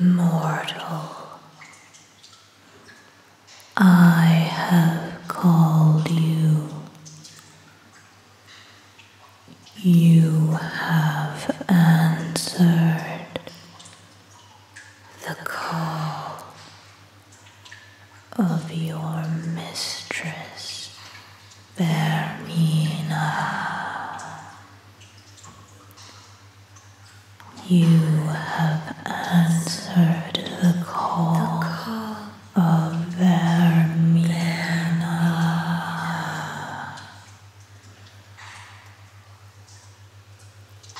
Mortal, I have called you. You have answered the call of your mistress. Vermina. You have answered the call, the call. of Vermina.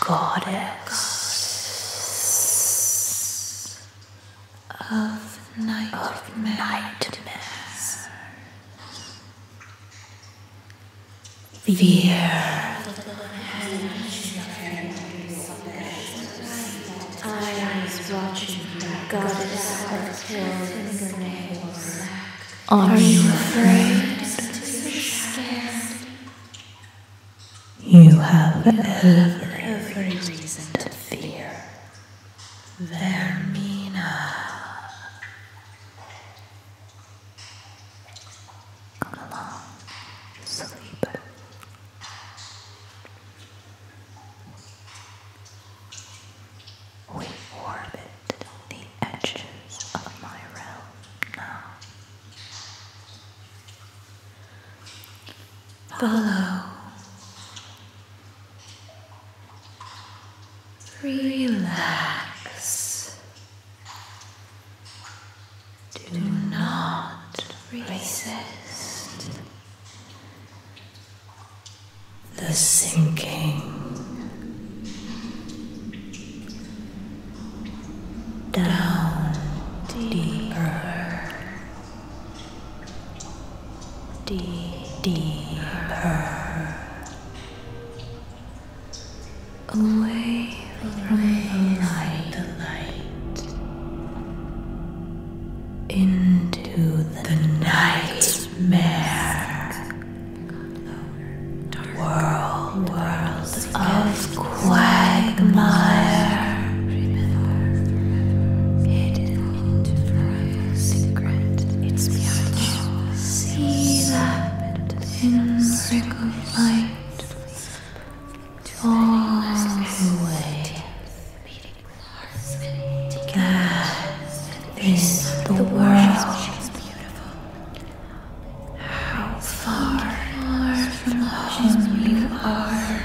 Goddess of nightmares. Of nightmares. Fear. Eyes watching goddess of your fingernails. Are you afraid? You have every reason to fear. Vermina. Come along, sleep. We orbit the edges of my realm now. Follow Relax. Do not resist the sinking down deeper deeper, away from the light, into the, night's nightmare world, of quagmire into forever secret. It's beautiful. See that pinprick of light all the way. That is the world. How far, far from home you are.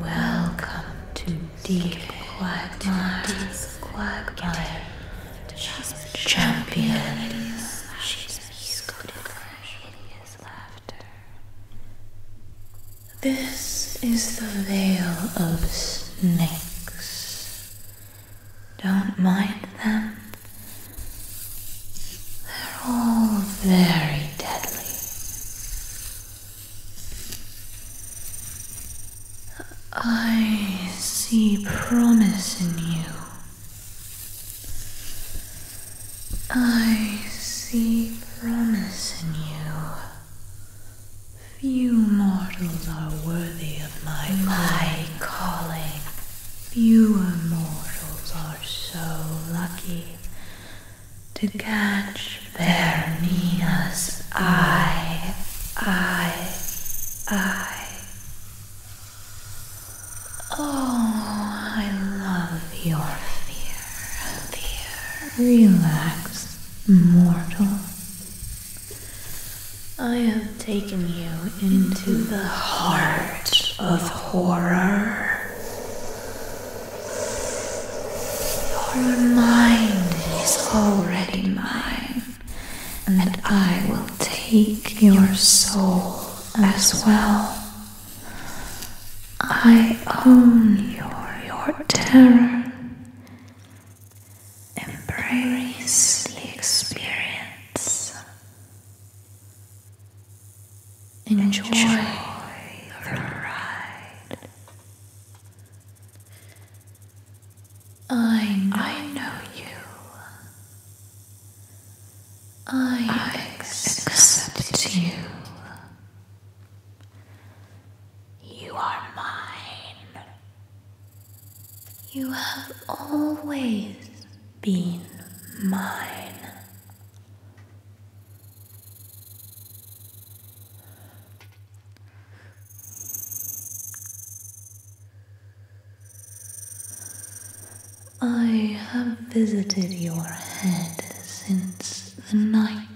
Welcome to Deep Quagmire's Quagmire. champion. This is the Vale of Snakes. Don't mind them. They're all very deadly. I see promise in you. I see promise in you. Few mortals are worthy of my, my calling. Fewer mortals are so lucky to catch their Nina's eye, eye, eye. Oh, I love your fear, dear. Relax, mortal. I have taken you into the heart of horror. Your mind is already mine, and I will take your soul as well. I own your, terror. Embrace the experience. Enjoy, Enjoy the ride. I I know you. I, accept, you. You are mine. You have always been mine. I have visited your head since the night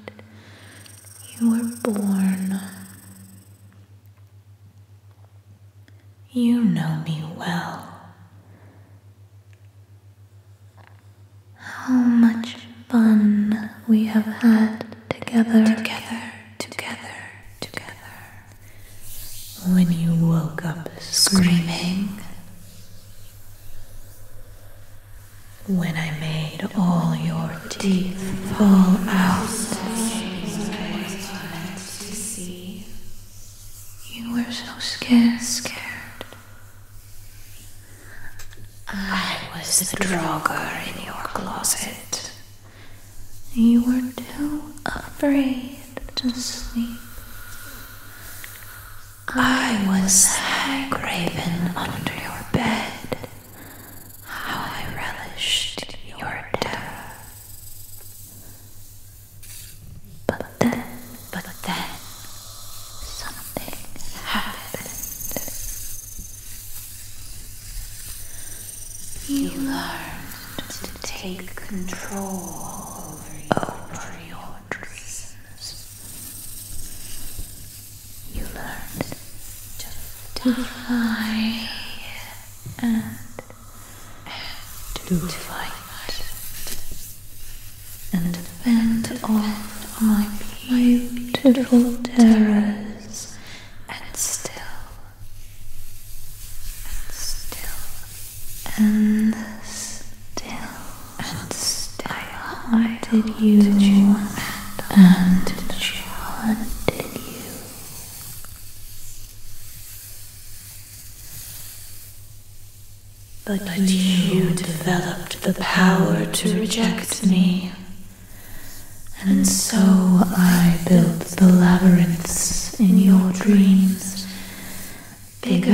you were born. You know me well. How much fun we have had together, together, together, together. When you woke up screaming. When I made all your teeth fall out. You were so scared, scared. I was the droger in your closet. You were too afraid to sleep. I was high graven under your bed. How I relished your terror. But then but then something happened. You learned to take control over your dreams. You learned to fly and to fight and fend on my beautiful terrors and still and still and still and still I haunted you and haunted you but you developed the power to reject me. And so I built the labyrinths in your dreams, bigger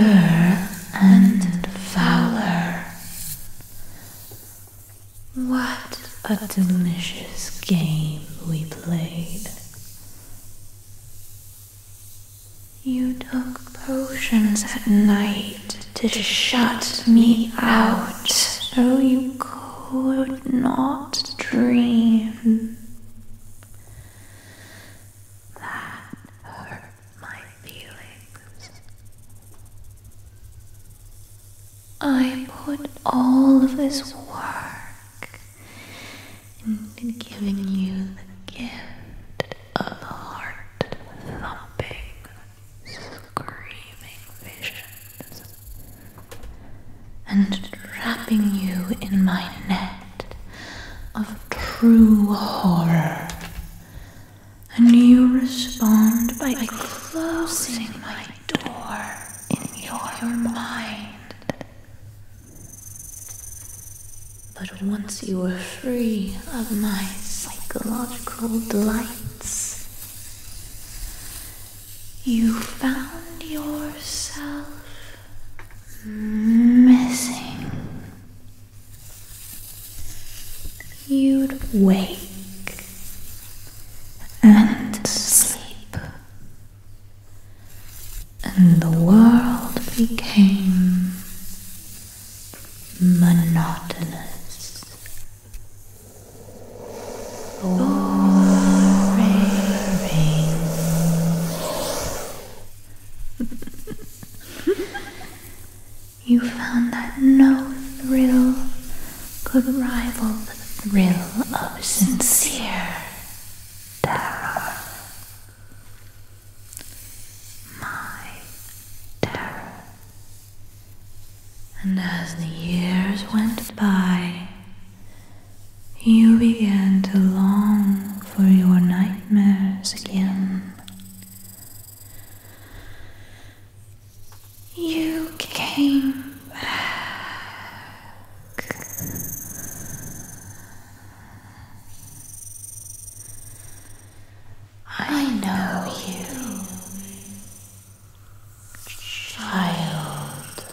and fouler. What a delicious game we played. You took potions at night to shut me out so you could not dream. That hurt my feelings. I put all of this work into giving you the gift of heart thumping screaming visions and trapping you in my net of true horror. And you respond by closing my door in your mind. But once you were free of my psychological delights, you found yourself missing. You'd wake and sleep, and the world became monotonous, boring. you found that no thrill could rival the thrill of sincere terror my terror. And as the years went by, you began to long for your nightmares again. You came back. I know you, child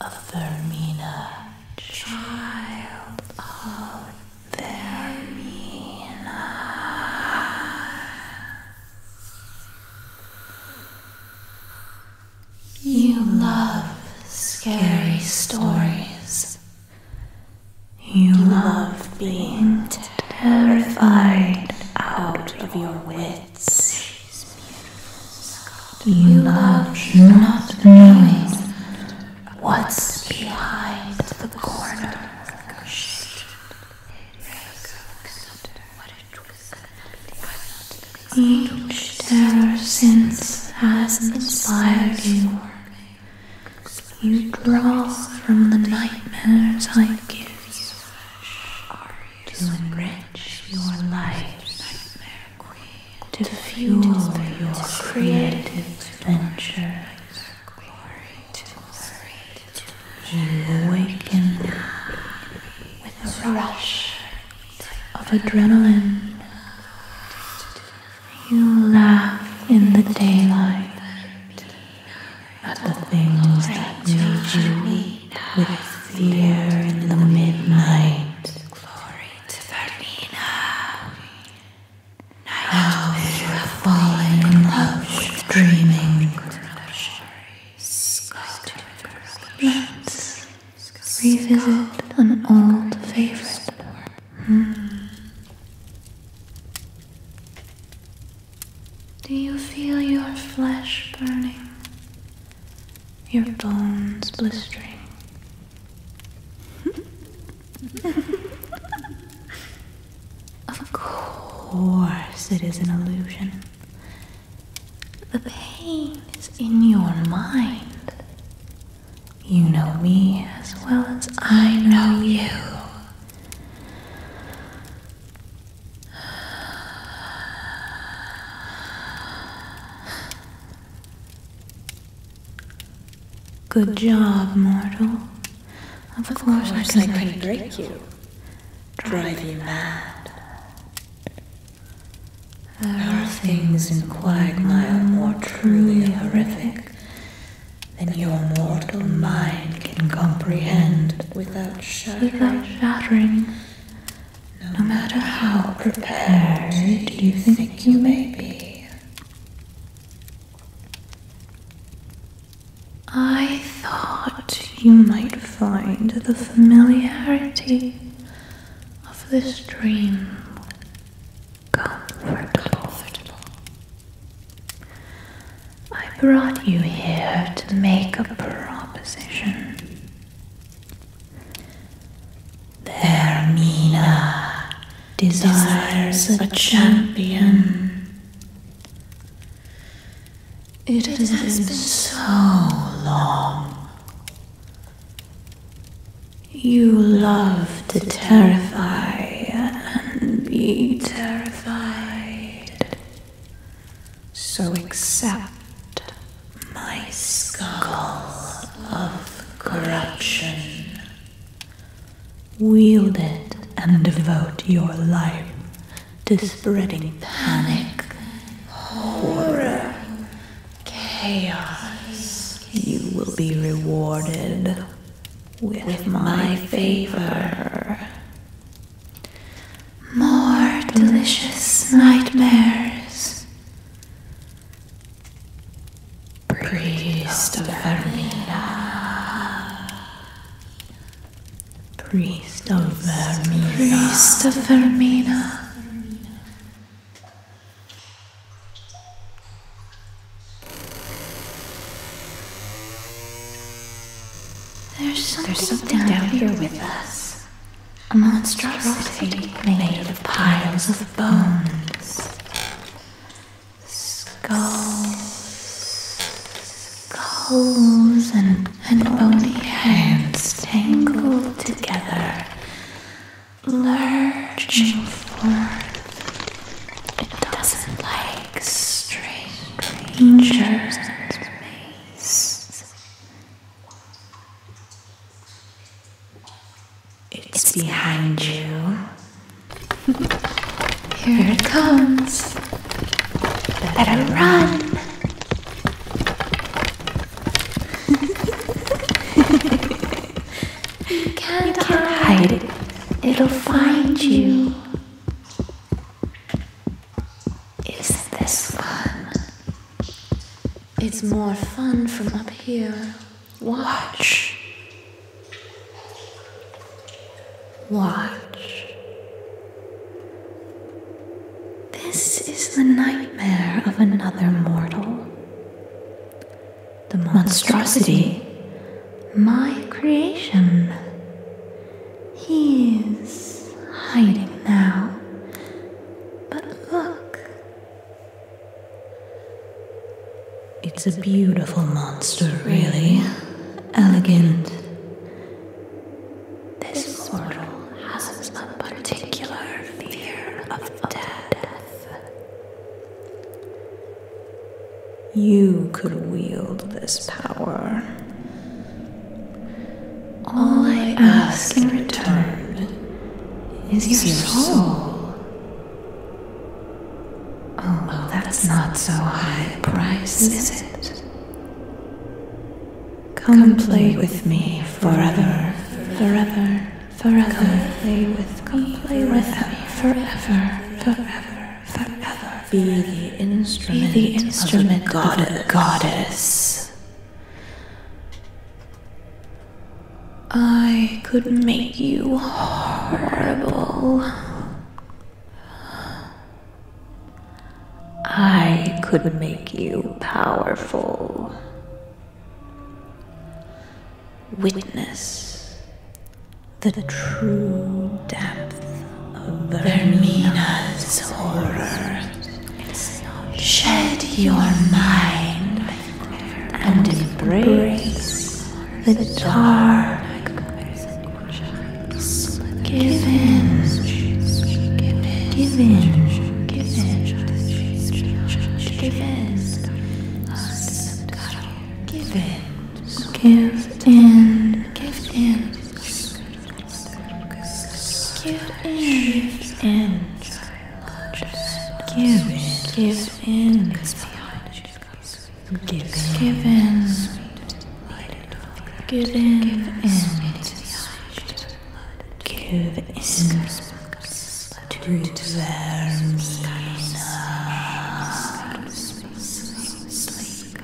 of Vermina, child of Vermina. You love scary stories you love being terrified out of your wits. You love not knowing what's behind the corner. Each terror since has inspired you you draw from the nightmares I give you to enrich your life, to fuel your creative ventures. You awaken with a rush of adrenaline. You laugh in the daylight at the things that meet you with fear in the midnight. Glory to Vermina. Now you are falling in love dreaming. Let's revisit an old favorite. Hmm. Do you feel your flesh burning, your bones blistering? of course, it is an illusion. The pain is in your mind. You know me as well as I know you. Good job, mortal. Of, of course, course, I can, I can break you. Drive you mad. There are things in Quagmire more truly horrific than your mortal mind can comprehend without shattering. no matter how prepared you think you may be. I thought you might find the familiarity of this dream comfortable. I brought you here to make a proposition. Their Mina desires a champion. It has been so long. You love to terrify and be terrified. So accept my skull of corruption. Wield it and devote your life to spreading panic, horror, chaos. You will be rewarded with my favor. More delicious nightmares. Priest of Vermina. Priest of Vermina. Priest of Vermina. There's something, down, here with us. A monstrosity made of piles of bones. Skulls. Skulls and, and bony hands tangled together. Lurching forth. It doesn't like straight. Stranger's Maze. It's behind you. Here it comes. Better run. you can't, hide. It'll find you is this one. It's more fun from up here. Watch. Watch. This is the nightmare of another mortal. The monstrosity my creation. He is hiding now, but look. It's a beautiful monster, really. Elegant. This mortal has a particular fear of death. You could wield this power. All I ask in return is your soul. Oh, that's not so high a price, is it? Come play with me forever, forever, forever. Come play with me forever, forever be the instrument, be the instrument of, the goddess. I could make you horrible. I could make you powerful. Witness the true depth of Vermina's horror. Shed your mind and embrace the dark. Give in, give in, give in, give in, give in. Give in, give in, give in, give in, give in, give in, give in, give in, give in to their meanness. Sleep.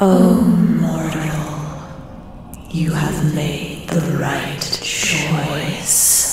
Oh, mortal, you have made the right choice.